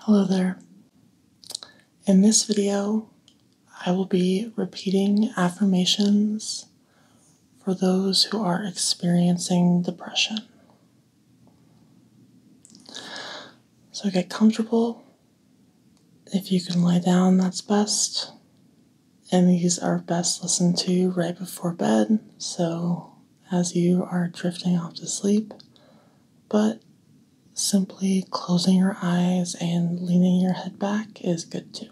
Hello there. In this video, I will be repeating affirmations for those who are experiencing depression. So get comfortable. If you can lie down, that's best. And these are best listened to right before bed, so as you are drifting off to sleep, but simply closing your eyes and leaning your head back is good too.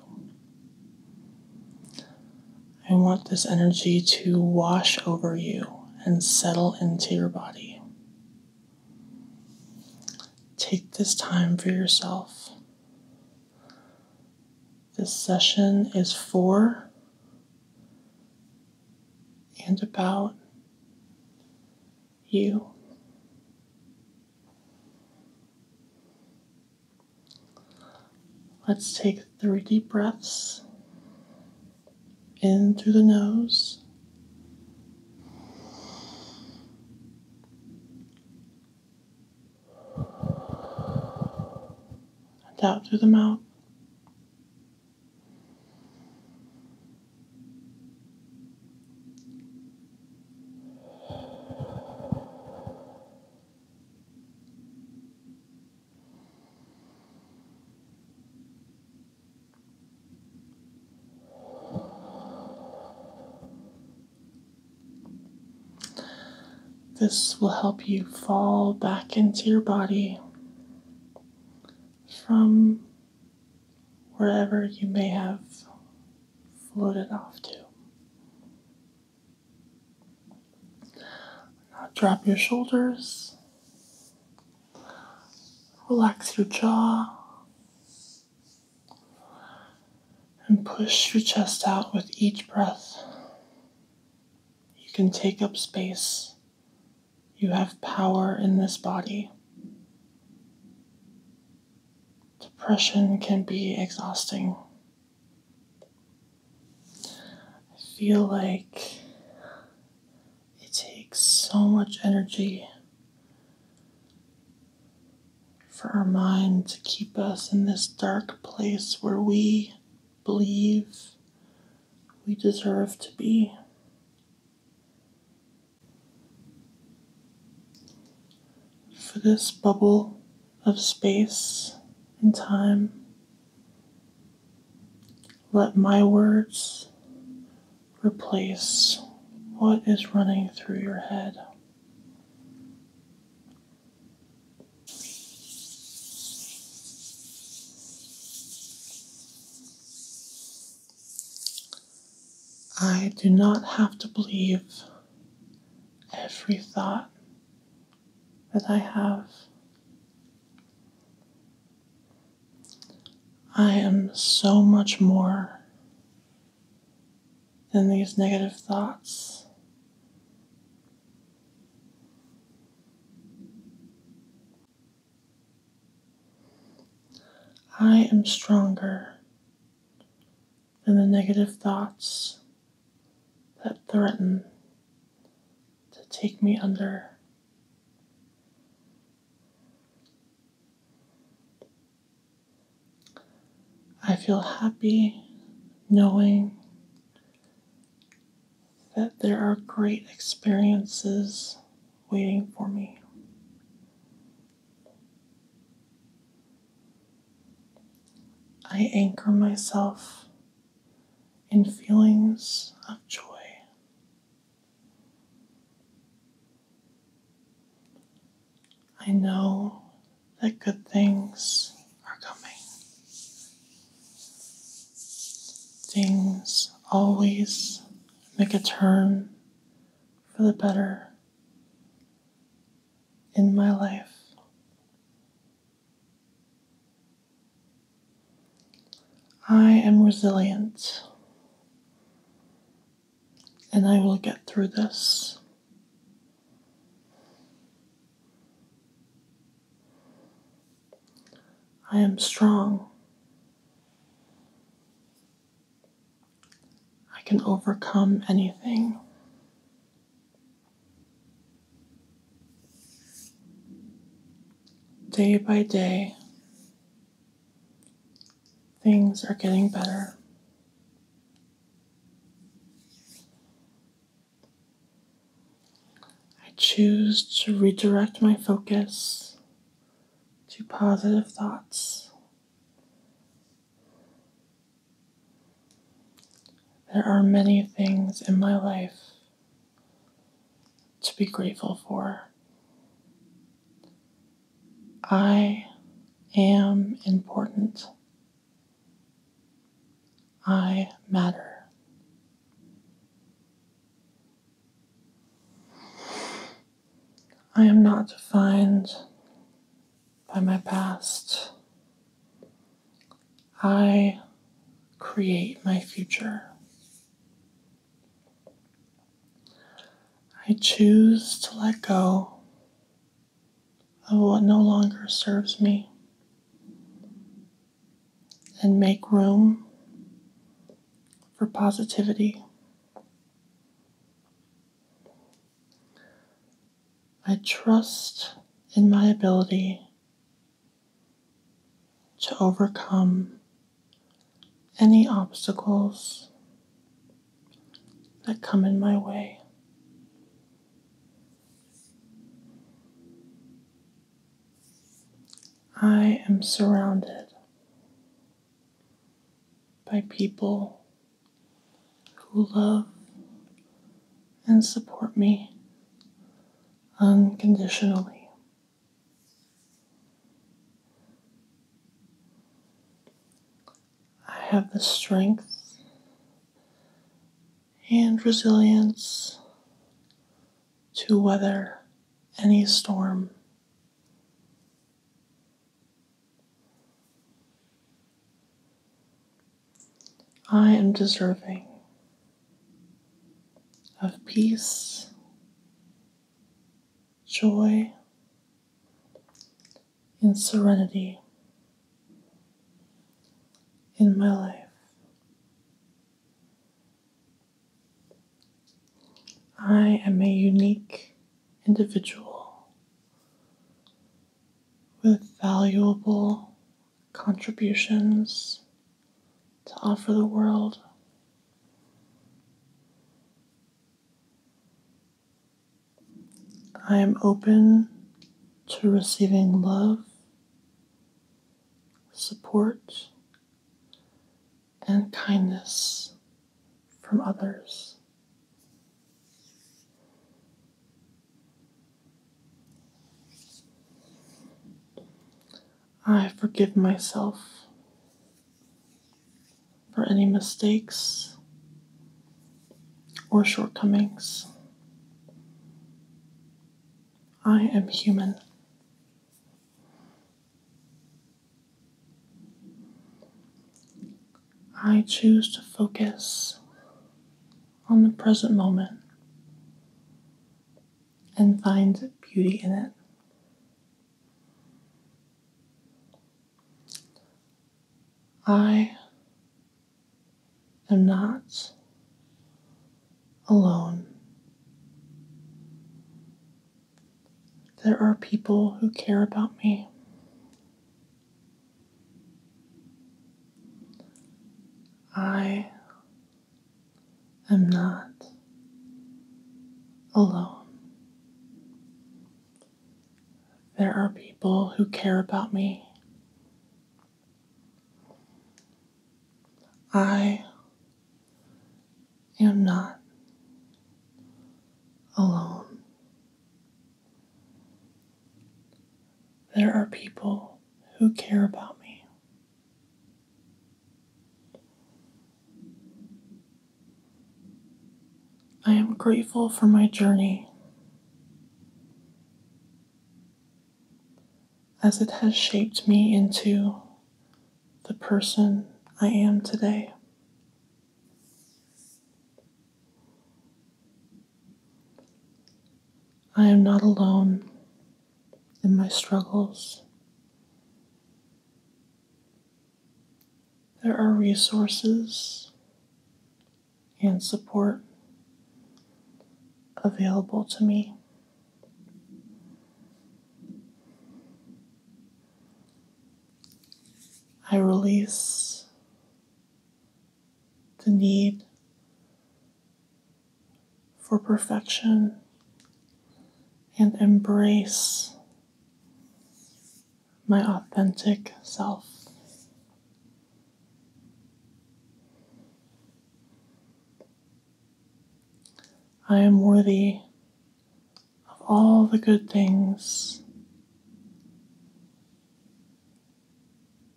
I want this energy to wash over you and settle into your body. Take this time for yourself. This session is for and about you. Let's take three deep breaths in through the nose. Out through the mouth. This will help you fall back into your body from wherever you may have floated off to. drop your shoulders, relax your jaw, and push your chest out with each breath. You can take up space you have power in this body. Depression can be exhausting. I feel like it takes so much energy for our mind to keep us in this dark place where we believe we deserve to be. For this bubble of space and time, let my words replace what is running through your head. I do not have to believe every thought that I have. I am so much more than these negative thoughts. I am stronger than the negative thoughts that threaten to take me under. I feel happy knowing that there are great experiences waiting for me. I anchor myself in feelings of joy. I know that good things are coming. Things always make a turn for the better in my life. I am resilient and I will get through this. I am strong. I can overcome anything. Day by day, things are getting better. I choose to redirect my focus to positive thoughts. There are many things in my life to be grateful for. I am important. I matter. I am not defined by my past. I create my future. I choose to let go of what no longer serves me and make room for positivity. I trust in my ability to overcome any obstacles that come in my way. I am surrounded by people who love and support me unconditionally. I have the strength and resilience to weather any storm. I am deserving of peace, joy, and serenity in my life. I am a unique individual with valuable contributions to offer the world. I am open to receiving love support, and kindness from others. I forgive myself for any mistakes or shortcomings I am human. I choose to focus on the present moment and find beauty in it. I I'm not alone. There are people who care about me. I am not alone. There are people who care about me I am not alone. There are people who care about me. I am grateful for my journey as it has shaped me into the person I am today. I am not alone in my struggles. There are resources and support available to me. I release the need for perfection and embrace my authentic self. I am worthy of all the good things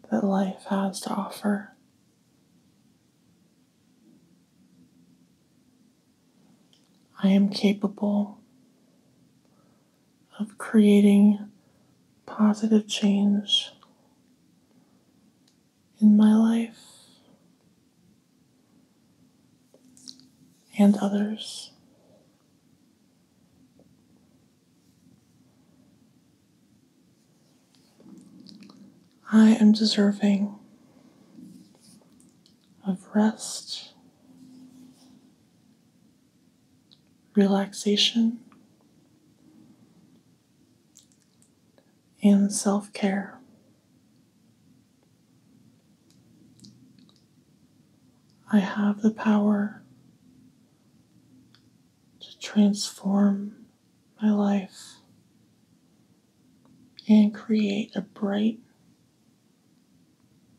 that life has to offer. I am capable of creating positive change in my life and others. I am deserving of rest, relaxation, and self care. I have the power to transform my life and create a bright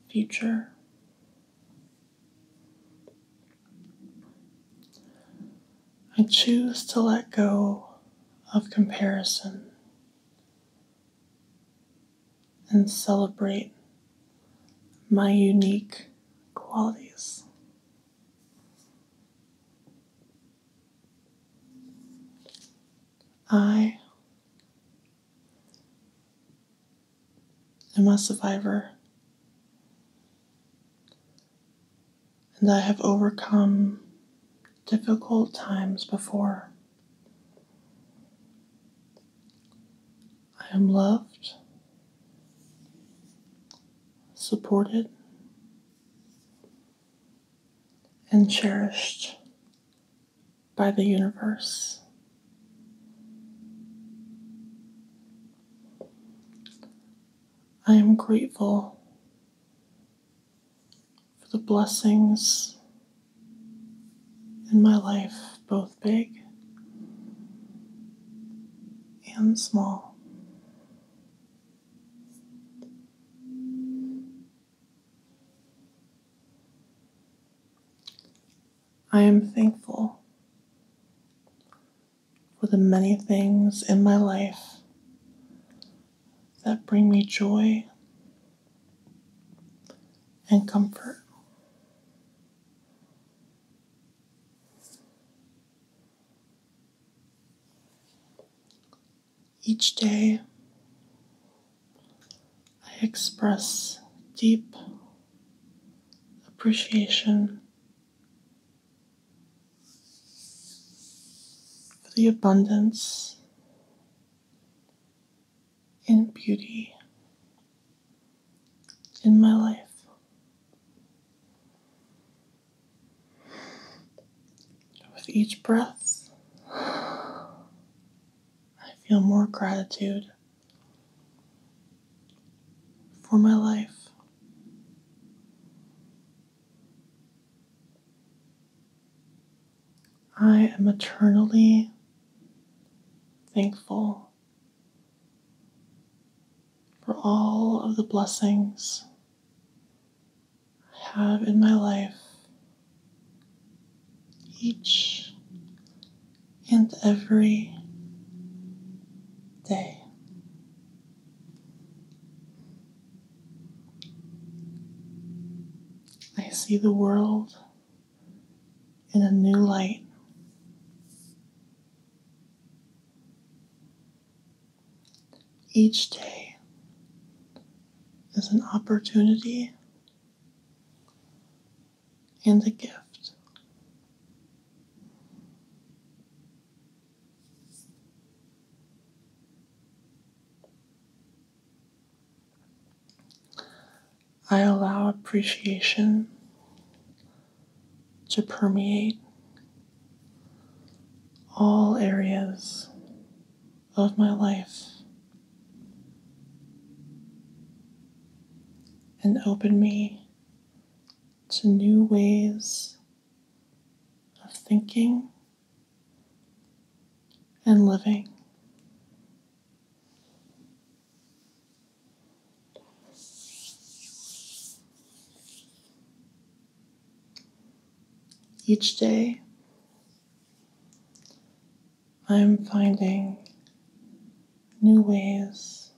future. I choose to let go of comparison and celebrate my unique qualities. I am a survivor and I have overcome difficult times before. I am loved, supported, and cherished by the universe. I am grateful for the blessings in my life, both big and small. I am thankful for the many things in my life that bring me joy and comfort. Each day, I express deep appreciation for the abundance and beauty in my life. With each breath, I feel more gratitude for my life. I am eternally thankful for all of the blessings I have in my life each and every day. I see the world in a new light. Each day is an opportunity and a gift. I allow appreciation to permeate all areas of my life and open me to new ways of thinking and living. Each day, I'm finding new ways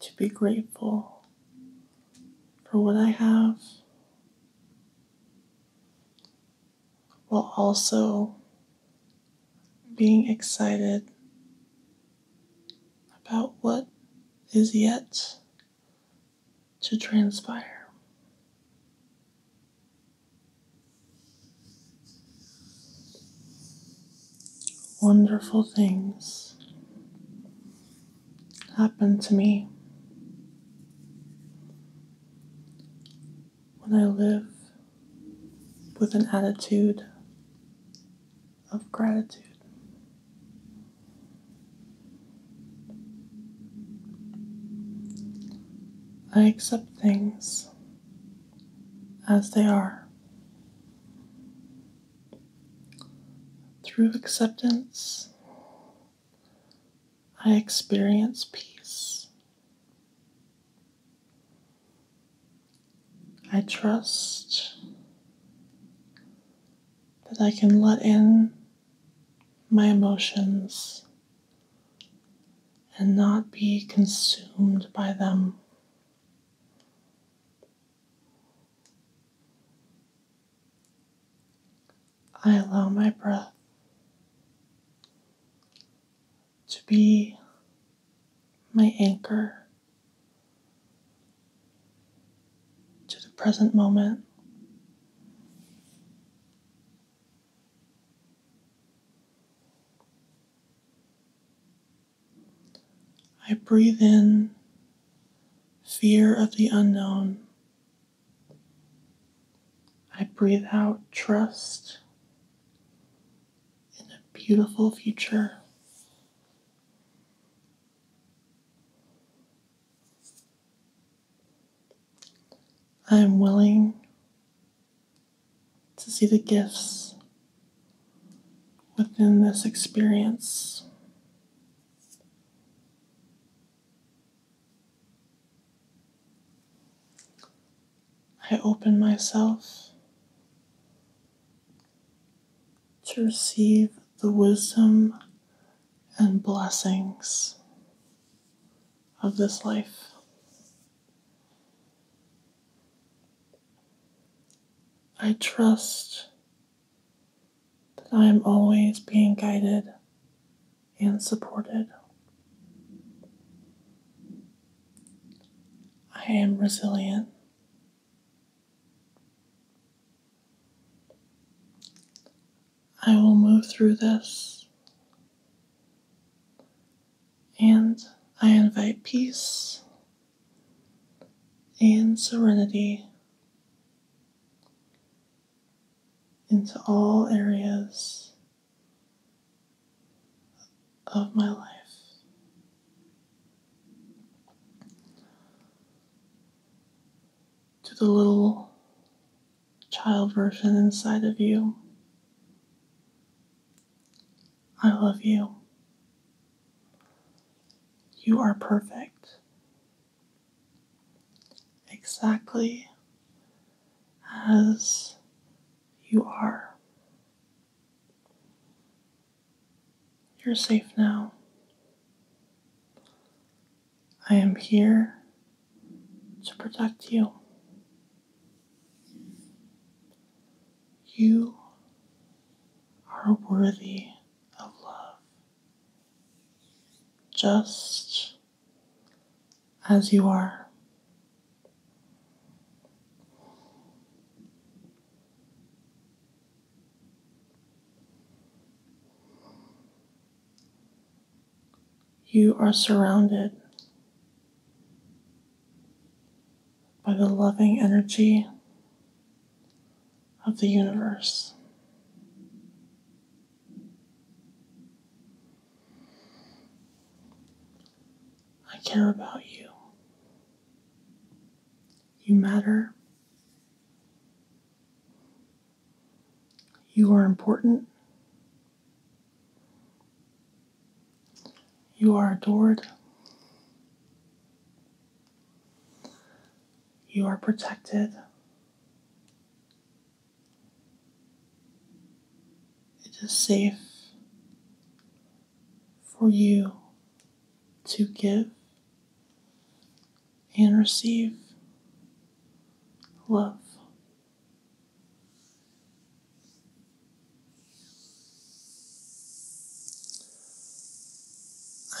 to be grateful for what I have while also being excited about what is yet to transpire. Wonderful things happen to me when I live with an attitude of gratitude. I accept things as they are. Through acceptance, I experience peace. I trust that I can let in my emotions and not be consumed by them. I allow my breath to be my anchor to the present moment. I breathe in fear of the unknown. I breathe out trust in a beautiful future. I am willing to see the gifts within this experience. I open myself to receive the wisdom and blessings of this life. I trust that I am always being guided and supported. I am resilient. I will move through this. And I invite peace and serenity into all areas of my life. To the little child version inside of you I love you. You are perfect. Exactly as you are. You're safe now. I am here to protect you. You are worthy of love just as you are. You are surrounded by the loving energy of the universe. I care about you. You matter. You are important. You are adored. You are protected. It is safe for you to give and receive love.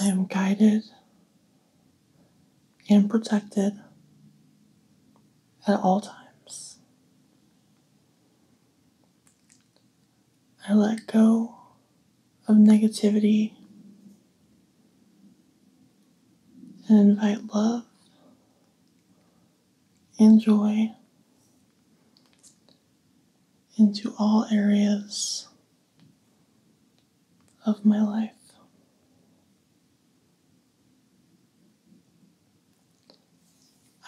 I am guided and protected at all times. I let go of negativity and invite love, Enjoy into all areas of my life.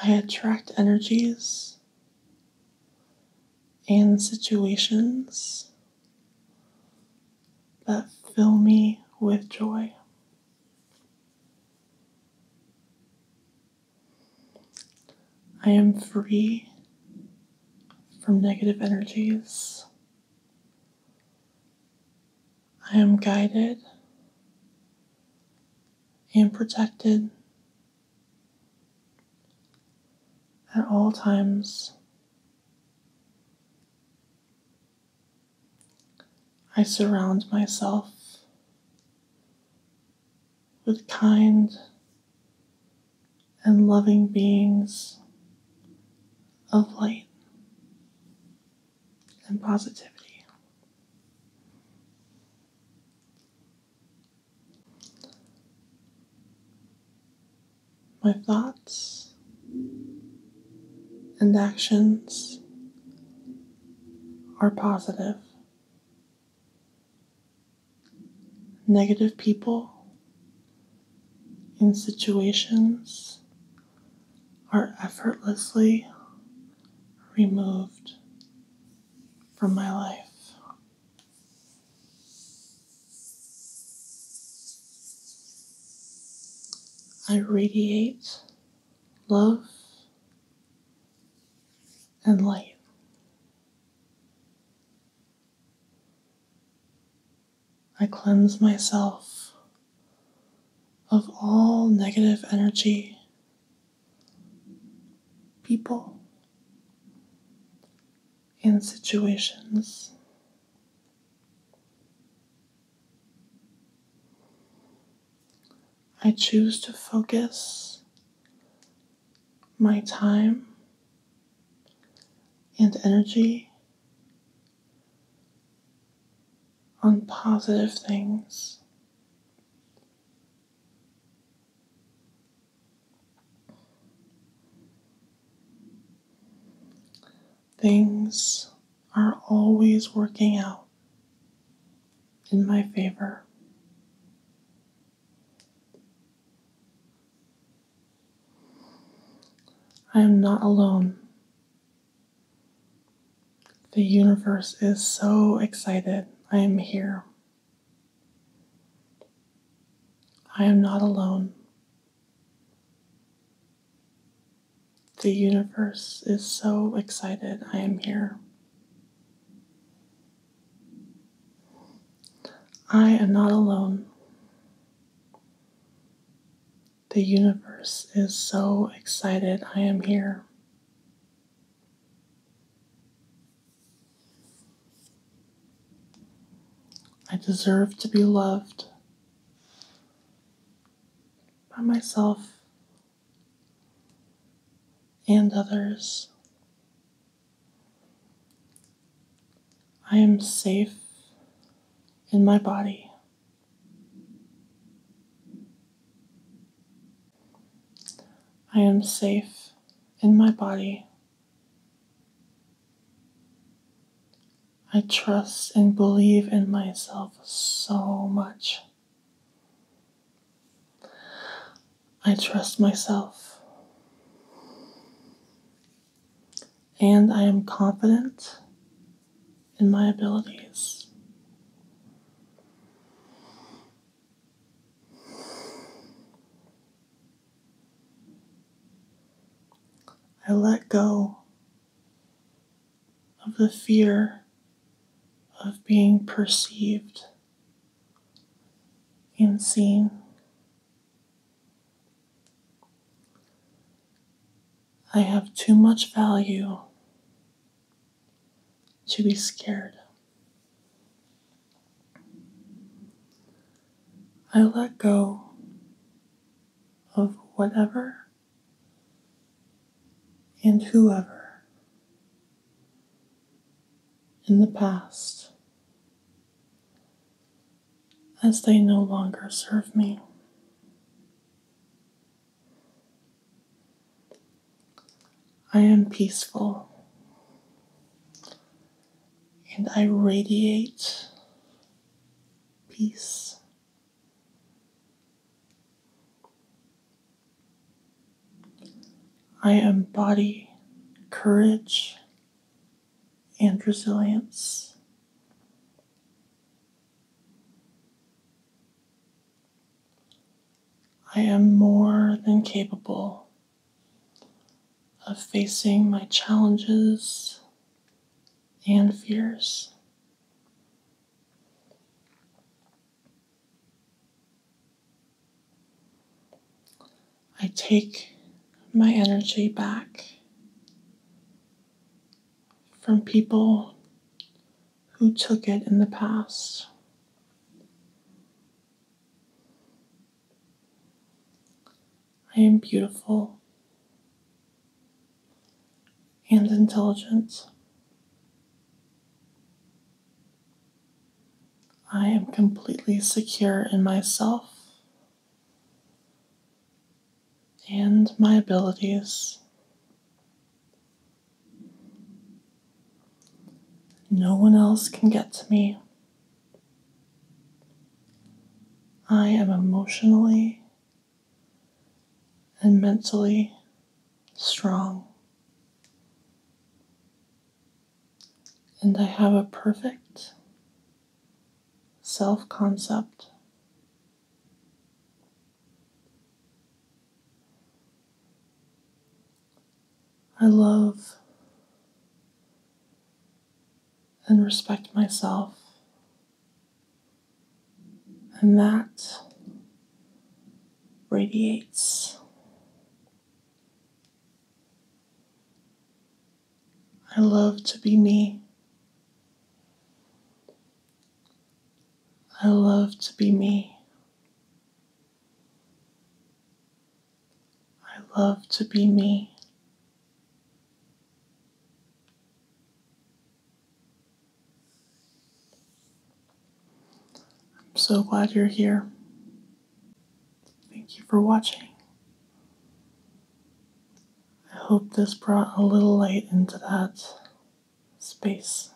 I attract energies and situations that fill me with joy. I am free from negative energies. I am guided and protected at all times. I surround myself with kind and loving beings of light and positivity. My thoughts and actions are positive negative people in situations are effortlessly removed from my life. I radiate love, and light. I cleanse myself of all negative energy, people, and situations. I choose to focus my time and energy on positive things. Things are always working out in my favor. I am not alone. The universe is so excited. I am here. I am not alone. The universe is so excited I am here. I am not alone. The universe is so excited I am here. I deserve to be loved by myself and others. I am safe in my body. I am safe in my body. I trust and believe in myself so much. I trust myself. And I am confident in my abilities. I let go of the fear of being perceived and seen. I have too much value to be scared. I let go of whatever and whoever in the past as they no longer serve me. I am peaceful and I radiate peace I embody courage and resilience. I am more than capable of facing my challenges and fears. I take my energy back from people who took it in the past. I am beautiful and intelligence. I am completely secure in myself and my abilities. No one else can get to me. I am emotionally and mentally strong. And I have a perfect self concept. I love and respect myself and that radiates. I love to be me. I love to be me. I love to be me. I'm so glad you're here. Thank you for watching. I hope this brought a little light into that space.